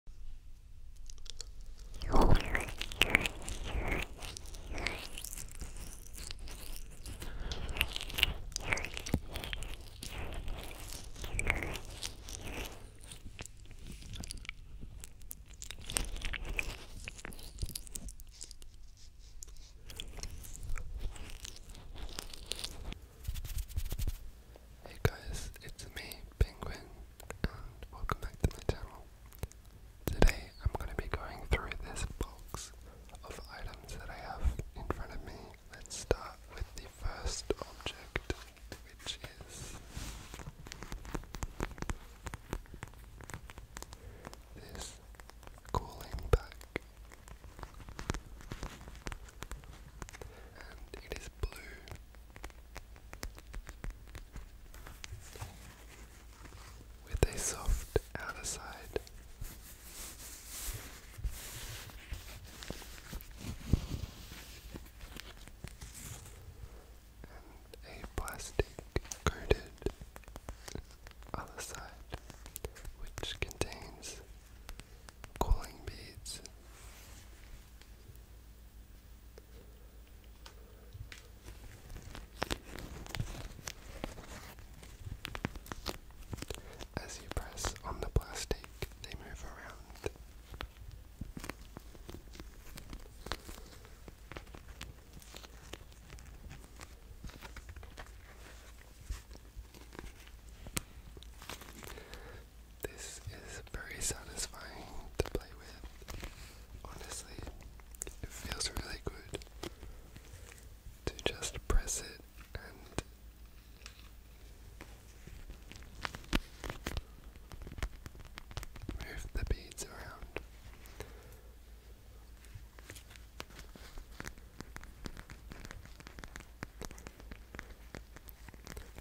Hey guys, it's me, Penguin welcome back to my channel. Today I'm going to be going through this box of items that I have in front of me. Let's start with the first object, which is this cooling pack. And it is blue with a soft outer side. And a plastic coated other side, which contains cooling beads as you press on the plastic, they move around. This is very satisfying to play with. Honestly, it feels really good to just press it and move the beads around.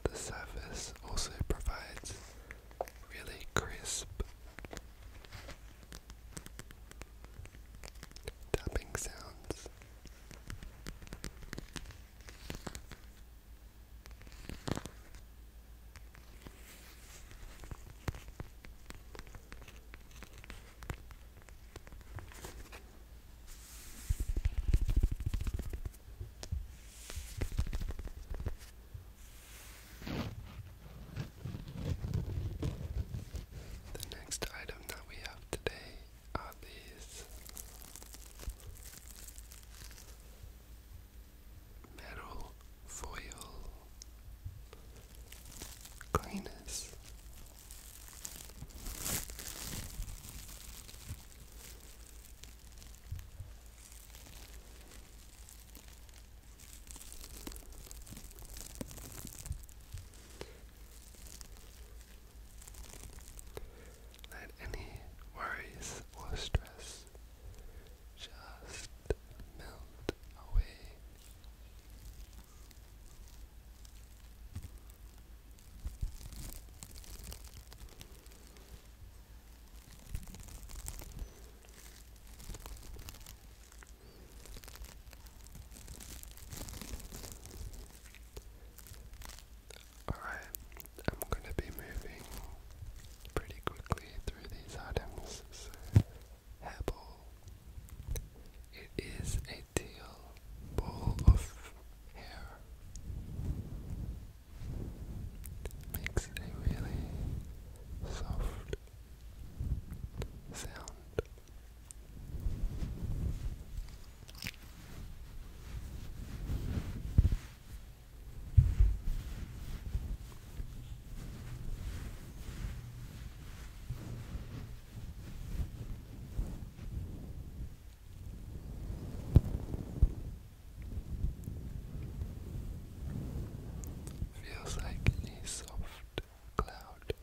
The surface also provides really crisp tapping sounds. The next item that we have today are these metal foil cleaners. Let any worries or stress just melt away. Alright, I'm going to be moving pretty quickly through these items. Hebble. It is a deal ball of hair makes a really soft sound. Feels like a soft cloud.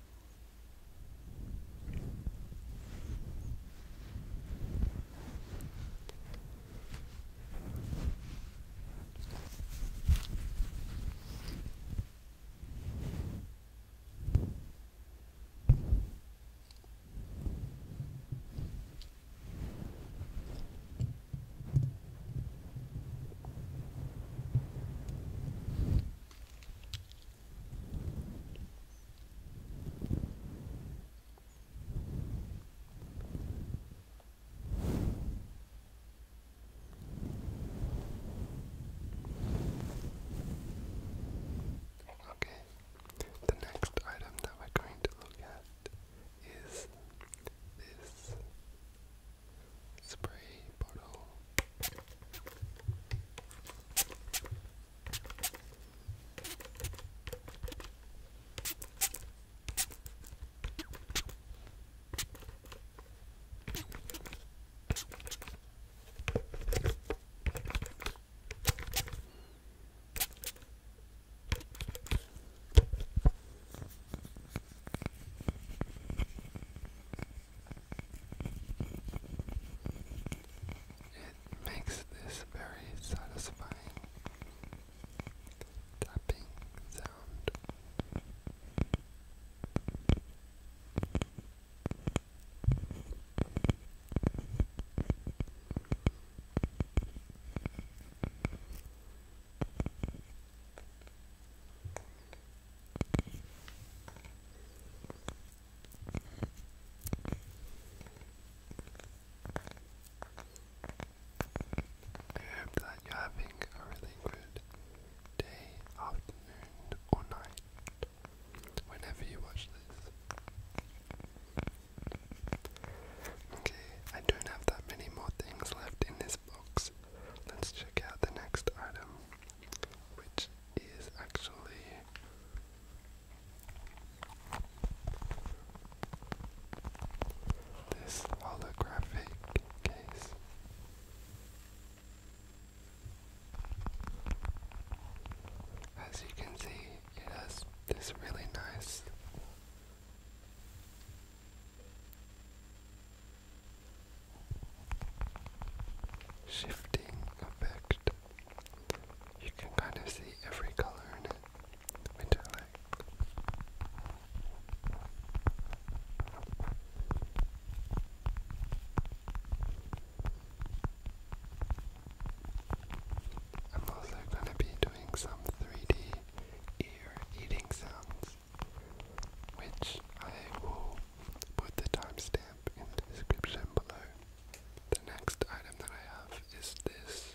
Okay, the next item that we're going to look at is this spray bottle. It makes this very satisfying tapping sound. I hope that you're having a really good day, afternoon, or night whenever you watch this. Okay, I don't have that many more things left in this box. Let's check out the next item, which is actually. This holographic case. As you can see, it has this really nice Shifting effect. You can kind of see every color in it. Metallic. I'm also going to be doing some 3D ear eating sounds, which I will put the timestamp in the description below. The next item that I have is this.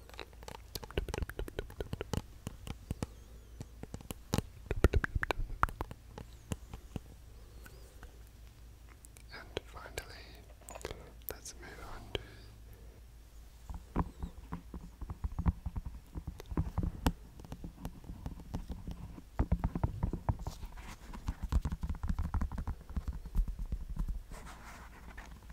And finally, let's move on to